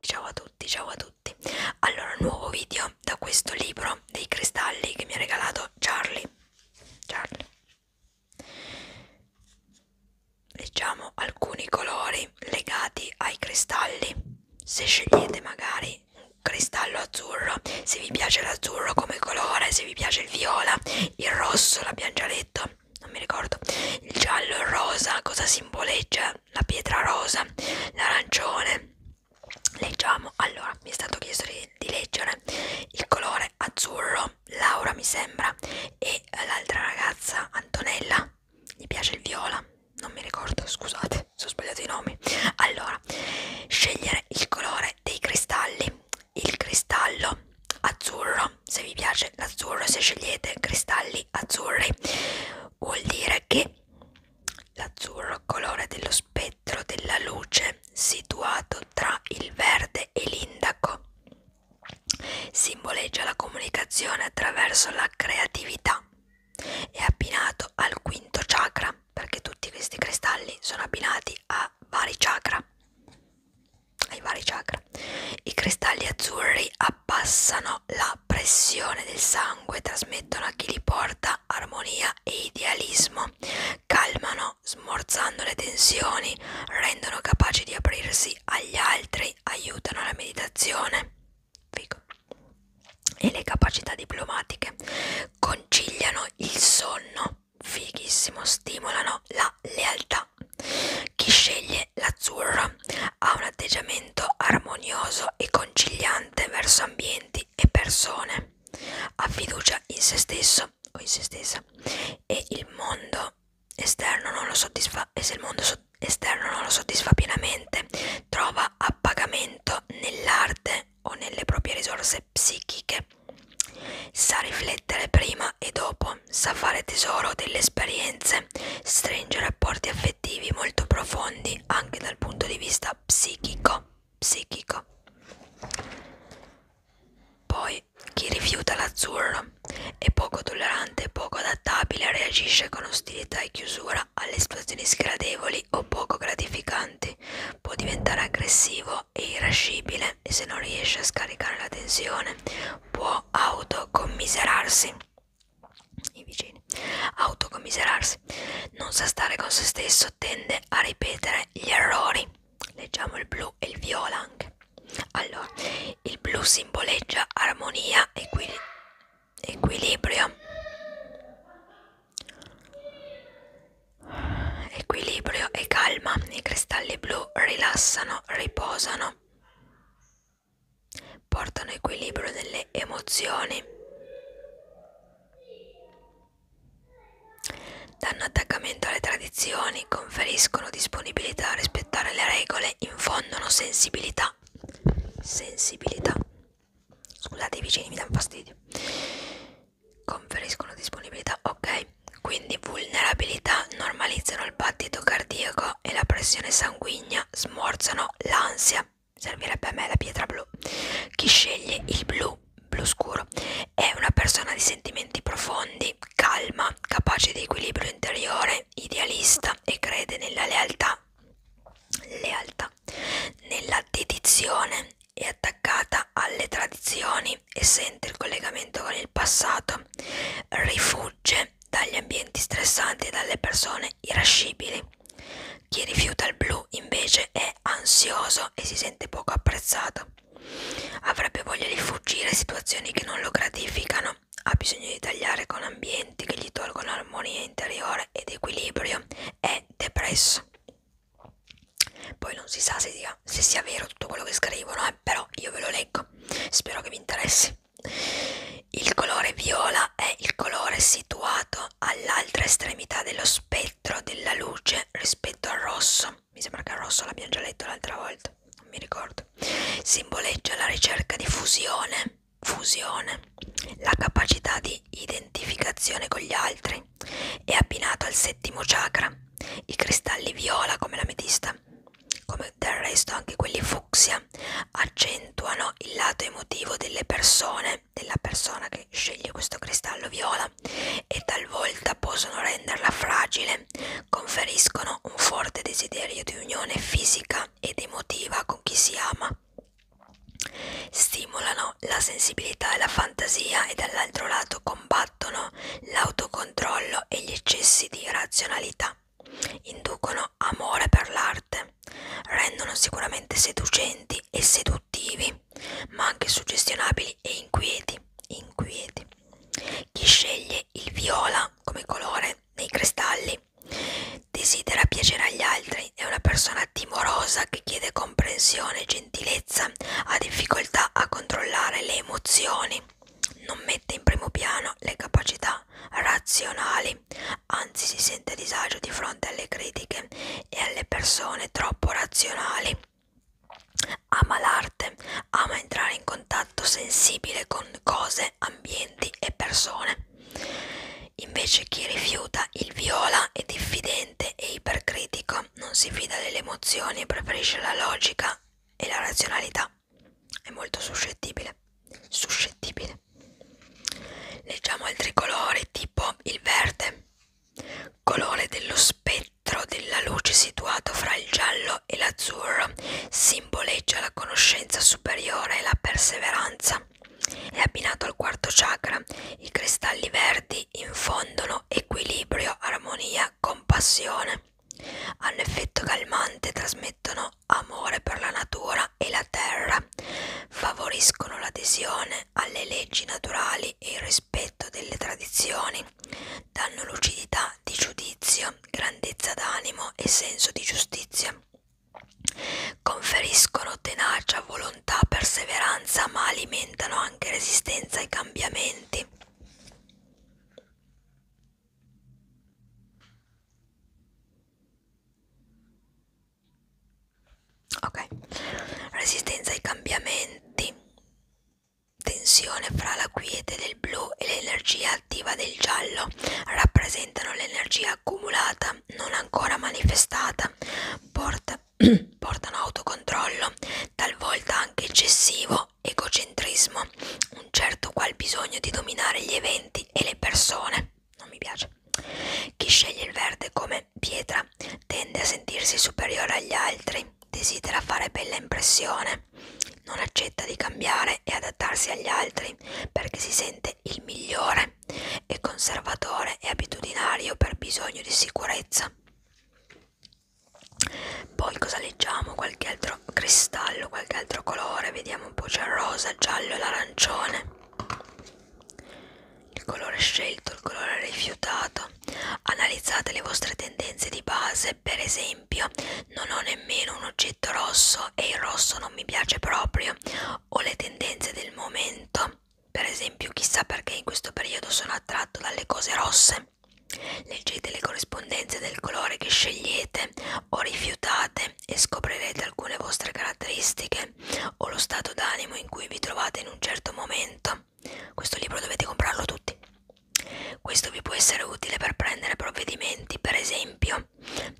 Ciao a tutti, ciao a tutti. Allora, nuovo video da questo libro dei cristalli che mi ha regalato Charlie. Charlie. Leggiamo alcuni colori legati ai cristalli. Se scegliete magari cristallo azzurro se vi piace l'azzurro come colore se vi piace il viola il rosso l'abbiamo già letto non mi ricordo il giallo il rosa cosa simboleggia la pietra rosa l'arancione leggiamo allora mi è stato chiesto di, di leggere il colore azzurro Laura mi sembra e l'altra ragazza Antonella gli piace il viola non mi ricordo, scusate se ho sbagliato i nomi. Allora, scegliere il colore dei cristalli. Il cristallo azzurro, se vi piace l'azzurro, se scegliete cristalli azzurri, vuol dire che l'azzurro, colore dello spettro della luce, situato tra il verde e l'indaco, simboleggia la comunicazione attraverso la creatività. È abbinato al quinto chakra perché tutti questi cristalli sono abbinati a vari chakra ai vari chakra i cristalli azzurri abbassano la pressione del sangue trasmettono a chi li porta armonia e idealismo calmano smorzando le tensioni rendono capaci di aprirsi agli altri aiutano la meditazione Figo e le capacità diplomatiche conciliano il sonno, fighissimo, stimolano la lealtà. Chi sceglie l'azzurro ha un atteggiamento armonioso e conciliante verso ambienti e persone, ha fiducia in se stesso o in se stessa e il mondo esterno non lo soddisfa e se il mondo esterno non lo soddisfa pienamente trova appagamento nell'arte o nelle proprie risorse psichiche. Sa riflettere prima e dopo, sa fare tesoro delle esperienze, stringe rapporti affettivi molto profondi anche dal punto di vista psichico. psichico. Poi chi rifiuta l'azzurro è poco tollerante, poco adattabile, reagisce con ostilità e chiusura alle situazioni sgradevoli o poco gratificanti, può diventare aggressivo e irascibile e se non riesce a scaricare la tensione può autocommiserarsi. I vicini. Autocommiserarsi. Non sa stare con se stesso, tende a ripetere gli errori. Leggiamo il blu e il viola anche. Allora, il blu simboleggia armonia, equilibrio equilibrio equilibrio e calma i cristalli blu rilassano riposano portano equilibrio delle emozioni danno attaccamento alle tradizioni conferiscono disponibilità a rispettare le regole infondono sensibilità sensibilità Scusate, i vicini mi danno fastidio. Conferiscono disponibilità. Ok, quindi vulnerabilità normalizzano il battito cardiaco e la pressione sanguigna, smorzano l'ansia. Servirebbe a me la pietra blu. Chi sceglie il blu, blu scuro, è una persona di sentimenti profondi, calma, capace di equilibrio interiore, idealista e crede nella lealtà. Lealtà. Nella dedizione è attaccata alle tradizioni e sente il collegamento con il passato, rifugge dagli ambienti stressanti e dalle persone irascibili. Chi rifiuta il blu invece è ansioso e si sente poco apprezzato. Avrebbe voglia di fuggire situazioni che non lo gratificano, ha bisogno di tagliare con ambienti che gli tolgono armonia interiore ed equilibrio, è depresso. Poi non si sa se, dica, se sia vero tutto quello che scrivono, eh, però io ve lo leggo, spero che vi interessi. Il colore viola è il colore situato all'altra estremità dello spettro della luce rispetto al rosso. Mi sembra che il rosso l'abbiamo già letto l'altra volta, non mi ricordo. Simboleggia la ricerca di fusione, fusione, la capacità di di identificazione con gli altri. È abbinato al settimo chakra, i cristalli viola come l'ametista, come del resto anche quelli fucsia, accentuano il lato emotivo delle persone, della persona che sceglie questo cristallo viola e talvolta possono renderla fragile, conferiscono un forte desiderio di unione fisica ed emotiva con chi si ama. Stimolano la sensibilità e la fantasia e dall'altro lato combattono l'autocontrollo e gli eccessi di razionalità. Inducono amore per l'arte, rendono sicuramente seducenti e seduttivi, ma anche suggestionabili e inquieti. inquieti. Chi sceglie il viola come colore nei cristalli desidera piacere agli altri Mai è una persona timorosa che chiede comprensione e gentilezza, ha difficoltà a controllare le emozioni, non mette in primo piano le capacità razionali, anzi si sente a disagio di fronte alle critiche e alle persone troppo razionali. Ama l'arte, ama entrare in contatto sensibile con cose, ambienti e persone. Invece chi rifiuta il viola è diffidente paziente e ipercritico, non si fida delle emozioni, preferisce la logica e la razionalità. È molto suscettibile. Suscettibile. Leggiamo altri colori, tipo il verde, colore dello spettro della luce situato fra il giallo e l'azzurro, simboleggia la conoscenza superiore e la perseveranza. È abbinato al quarto chakra. I cristalli verdi infondono equilibrio, armonia, compassione. Hanno effetto calmante, trasmettono amore per la natura e la terra, favoriscono l'adesione alle leggi naturali e il rispetto delle tradizioni, danno lucidità di giudizio, grandezza d'animo e senso di giustizia. Conferiscono tenacia, volontà, perseveranza, ma alimentano anche resistenza ai cambiamenti. Ok, resistenza ai cambiamenti, tensione fra la quiete del blu e l'energia attiva del giallo rappresentano l'energia accumulata, non ancora manifestata, porta portano autocontrollo, talvolta anche eccessivo egocentrismo, un certo qual bisogno di dominare gli eventi e le persone. Non mi piace. Chi sceglie il verde come pietra tende a sentirsi superiore agli altri, desidera fare bella impressione, non accetta di cambiare e adattarsi agli altri perché si sente il migliore. 3 è conservatore e abitudinario per bisogno di sicurezza. Poi cosa leggiamo? Qualche altro cristallo, qualche altro colore, vediamo un po' c'è il rosa, il giallo e l'arancione. Il colore scelto, il colore rifiutato. Analizzate le vostre tendenze di base, per esempio, non ho nemmeno un oggetto rosso e il rosso non mi piace proprio, ho le tendenze del momento per esempio, chissà perché in questo periodo sono attratto dalle cose rosse. Leggete le corrispondenze del colore che scegliete o rifiutate e scoprirete alcune vostre caratteristiche o lo stato d'animo in cui vi trovate in un certo momento. Questo libro dovete comprarlo tutti. Questo vi può essere utile per prendere provvedimenti, per esempio,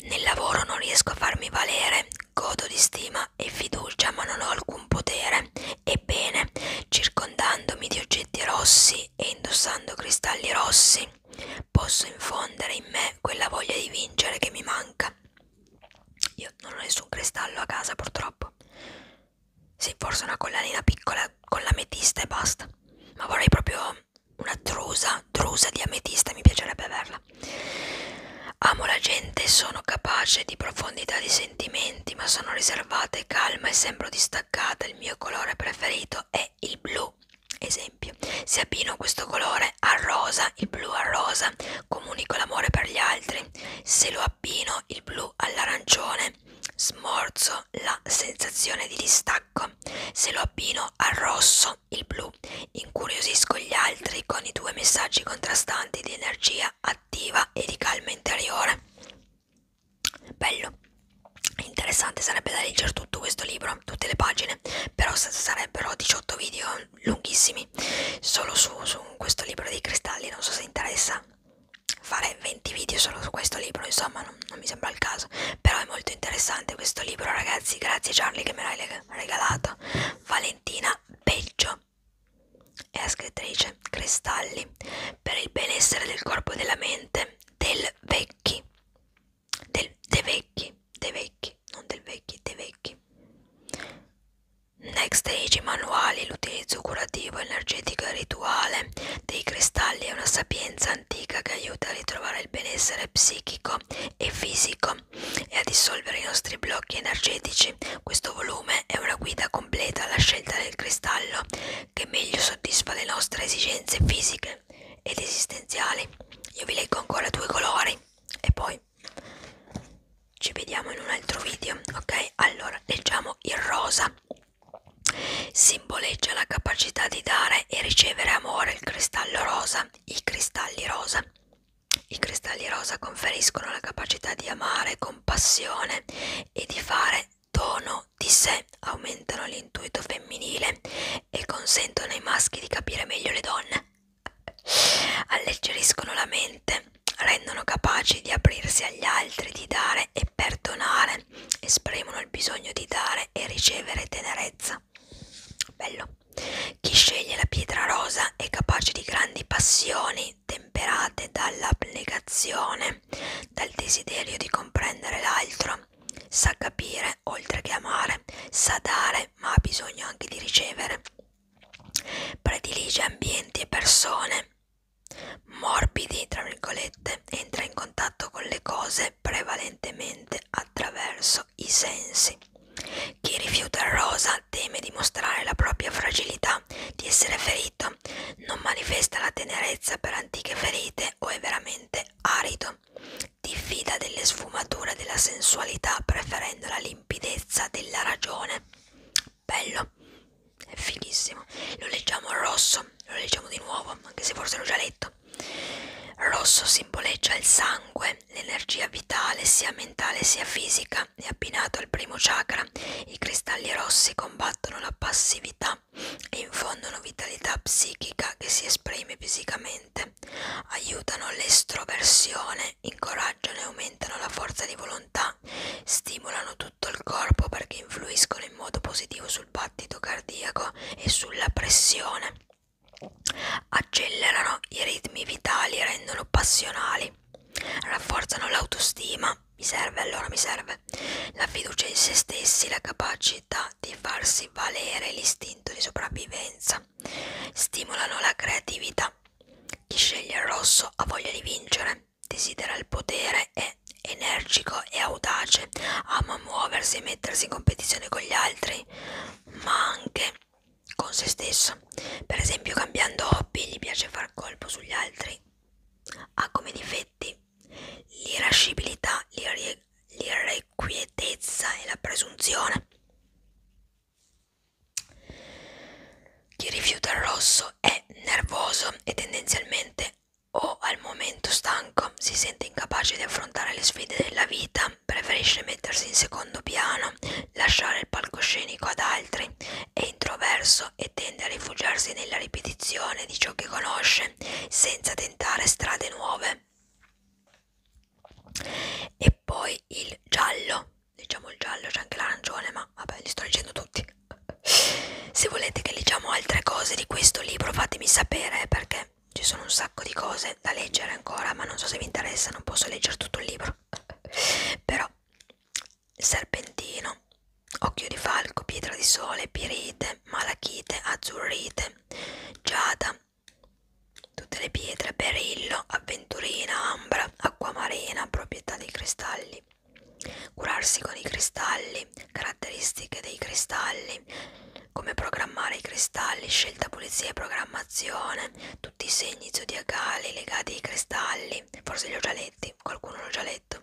nel lavoro non riesco a farmi valere Godo di stima e fiducia, ma non ho alcun potere. Ebbene, circondandomi di oggetti rossi e indossando cristalli rossi, posso infondere in me quella voglia di vincere che mi manca. Io non ho nessun cristallo a casa, purtroppo. Sì, forse una collanina piccola con l'ametista e basta. Ma vorrei proprio una trusa, trusa di ametista, mi piacerebbe averla parola. Amo la gente, sono capace di profondità di sentimenti, ma sono riservata e calma e sembro distaccata. Il mio colore preferito è il blu. Esempio, se abbino questo colore al rosa, il blu al rosa, comunico l'amore per gli altri. Se lo abbino il blu all'arancione, smorzo la sensazione di distacco. Se lo abbino al rosso, il blu, incuriosisco gli altri con i due messaggi contrastanti di energia sveglia attiva e di calma interiore. Bello, interessante sarebbe da leggere tutto questo libro, tutte le pagine, però sarebbero 18 video lunghissimi solo su, su questo libro dei cristalli, non so se interessa fare 20 video solo su questo libro, insomma non, non mi sembra il caso, però è molto interessante questo libro ragazzi, grazie Charlie che me l'hai regalato, Valentina Peggio Anna è la scrittrice Cristalli per il benessere del corpo e della mente del Vecchi del De Vecchi De Vecchi non del Vecchi De Vecchi Next Age manuali l'utilizzo curativo energetico e rituale dei cristalli è una sapienza antica che aiuta a ritrovare il benessere psichico e fisico e a dissolvere i nostri blocchi energetici. Questo volume è una guida completa alla scelta del cristallo che meglio soddisfa le nostre esigenze fisiche ed esistenziali. Io vi leggo ancora due colori e poi ci vediamo in un altro video, ok? Allora, leggiamo il rosa. Simboleggia la capacità di dare e ricevere amore il cristallo rosa, i cristalli rosa. I cristalli rosa conferiscono la capacità di amare con passione e di fare dono di sé, aumentano l'intuito femminile e consentono ai maschi di capire meglio le donne. Alleggeriscono la mente, rendono capaci di aprirsi agli altri, di dare e perdonare, esprimono il bisogno di dare e ricevere tenerezza. Bello. Chi sceglie la pietra rosa è capace di grandi passioni mani temperate dall'applicazione, dal desiderio di comprendere l'altro. Sa capire oltre che amare, sa dare ma ha bisogno anche di ricevere. Predilige ambienti e persone morbidi, tra virgolette, entra in contatto con le cose prevalentemente attraverso i sensi. Chi rifiuta il rosa ma teme di mostrare la propria fragilità, di essere ferito, non manifesta la tenerezza per antiche ferite o è veramente arido, diffida delle sfumature della sensualità preferendo la limpidezza della ragione. Bello, è fighissimo. Lo leggiamo rosso, lo leggiamo di nuovo, anche se forse l'ho già letto. Rosso simboleggia il sangue l'energia vitale sia mentale sia fisica è abbinato al primo chakra, i cristalli rossi combattono la passività e infondono vitalità psichica che si esprime fisicamente, aiutano l'estroversione, incoraggiano e aumentano la forza di volontà, stimolano tutto il corpo perché influiscono in modo positivo sul battito cardiaco e sulla pressione accelerano i ritmi vitali rendono passionali Rafforzano l'autostima, mi serve allora, mi serve la fiducia in se stessi, la capacità di farsi valere l'istinto di sopravvivenza. Stimolano la creatività. Chi sceglie il rosso ha voglia di vincere, desidera il potere, è energico e audace, ama muoversi e mettersi in competizione con gli altri, ma anche con se stesso. Per esempio, cambiando hobby, gli piace far colpo sugli altri. Ha come difetti l'irascibilità, l'irrequietezza e la presunzione. Chi rifiuta il rosso è nervoso e tendenzialmente o al momento stanco, si sente incapace di affrontare le sfide della vita, preferisce mettersi in secondo piano, lasciare il palcoscenico ad altri, è introverso e tende a rifugiarsi nella ripetizione di ciò che conosce senza tentare strade nuove. E poi il giallo, diciamo il giallo, c'è anche l'arancione, ma vabbè, li sto leggendo tutti. Se volete che leggiamo altre cose di questo libro, fatemi sapere perché ci sono un sacco di cose da leggere ancora, ma non so se vi interessa, non posso leggere tutto il libro. Però serpentino, occhio di falco, pietra di sole, pirite, malachite, azzurrite, giada, tutte le pietre, perillo, avventurina, ambra, acquamarina, proprietà dei cristalli, curarsi con i cristalli, caratteristiche dei cristalli, come programmare i cristalli, scelta, pulizia e programmazione, tutti i segni zodiacali legati ai cristalli, Legali, forse li ho già letti, qualcuno l'ho già letto.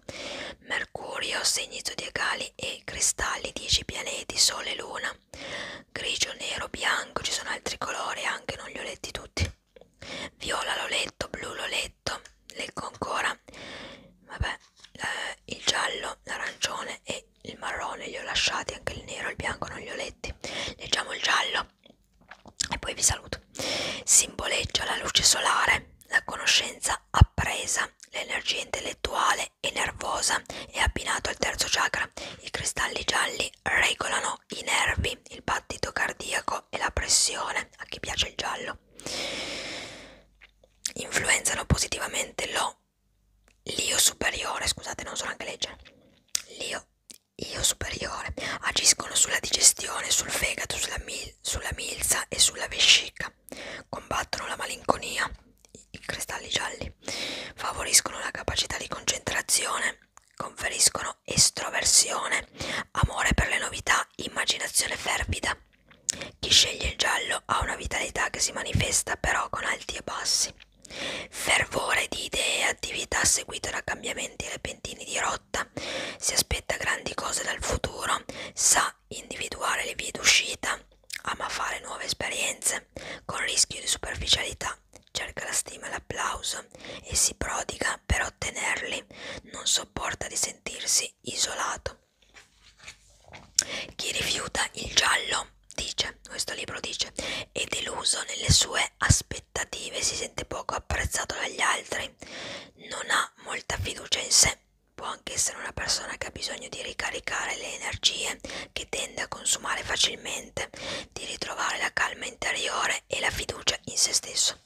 Mercurio, segni zodiacali e cristalli, 10 pianeti, sole e luna. Grigio, nero, bianco, ci sono altri colori anche, non li ho letti tutti. Viola l'ho letto, blu l'ho letto, leggo ancora. Vabbè, eh, il giallo, l'arancione e il marrone li ho lasciati, anche il nero e il bianco non li ho letti. Leggiamo il giallo e poi vi saluto. Simboleggia la luce solare, la conoscenza appresa, l'energia intellettuale e nervosa è abbinato al terzo chakra. I cristalli gialli regolano i nervi, il battito cardiaco e la pressione, a chi piace il giallo. Influenzano positivamente lo l'io superiore, scusate non so neanche leggere, l'io io superiore agiscono sulla digestione, sul fegato, sulla, mil sulla milza e sulla vescica, combattono la malinconia, i, i cristalli gialli, favoriscono la capacità di concentrazione, conferiscono estroversione, amore per le novità, immaginazione fervida. Chi sceglie il giallo ha una vitalità che si manifesta però con alti e bassi, fervore di idee e attività seguite da cambiamenti repentini di rotta lotta, si aspetta grandi cose dal futuro, sa individuare le vie d'uscita, ama fare nuove esperienze, con rischio di superficialità, cerca la stima e l'applauso e si prodiga per ottenerli, non sopporta di sentirsi isolato. Chi rifiuta il giallo, dice, questo libro dice, è deluso nelle sue aspettative aspettative, si sente poco apprezzato dagli altri, non ha molta fiducia in sé, può anche essere una persona che ha bisogno di ricaricare le energie, che tende a consumare facilmente, di ritrovare la calma interiore e la fiducia in se stesso.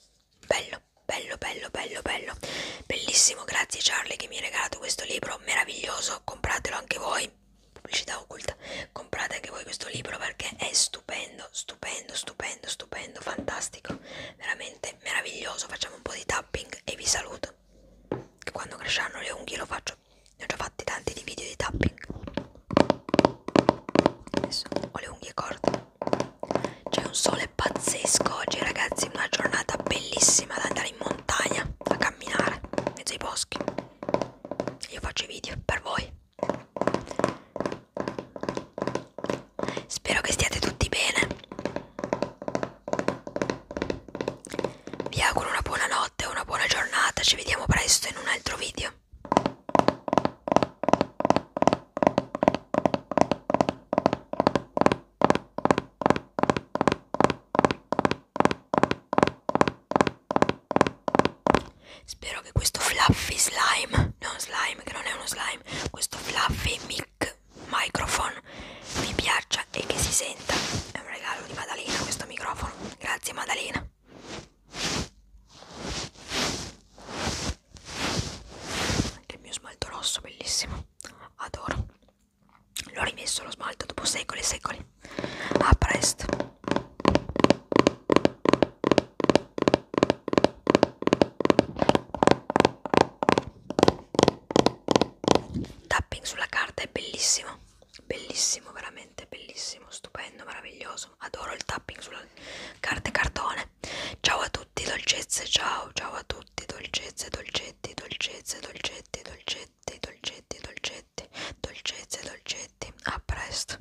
Bello, bello, bello, bello, bello. Bellissimo, grazie Charlie che mi ha regalato questo libro, meraviglioso, compratelo anche voi pubblicità occulta comprate anche voi questo libro perché è stupendo stupendo, stupendo, stupendo, stupendo, fantastico, veramente meraviglioso. Facciamo un po' di tapping e vi saluto. Che quando cresceranno le unghie lo faccio. Ne ho già fatti tanti di video di tapping. Adesso ho le unghie corte. C'è un sole pazzesco oggi, ragazzi. Una giornata bellissima da andare in montagna a camminare in mezzo ai boschi. Io faccio i video per voi. Spero che stiate tutti bene. Vi auguro una buona notte, una buona giornata, ci vediamo presto in un altro video. Spero che questo fluffy slime, non slime, che non è uno slime, questo fluffy mic microphone vi piaccia e che si senta. È un regalo di Maddalena questo microfono. Grazie Maddalena. Anche il mio smalto rosso, bellissimo. Adoro. L'ho rimesso lo smalto dopo secoli e secoli. A presto. Tapping sulla carta è bellissimo, bellissimo, veramente bellissimo, stupendo, meraviglioso. Adoro il tapping sulla carta e cartone. Ciao a tutti, dolcezze, ciao, ciao a tutti, dolcezze, dolcetti, dolcezze, dolcetti, dolcetti, dolcetti, dolcetti, dolcezze, dolcetti. A presto.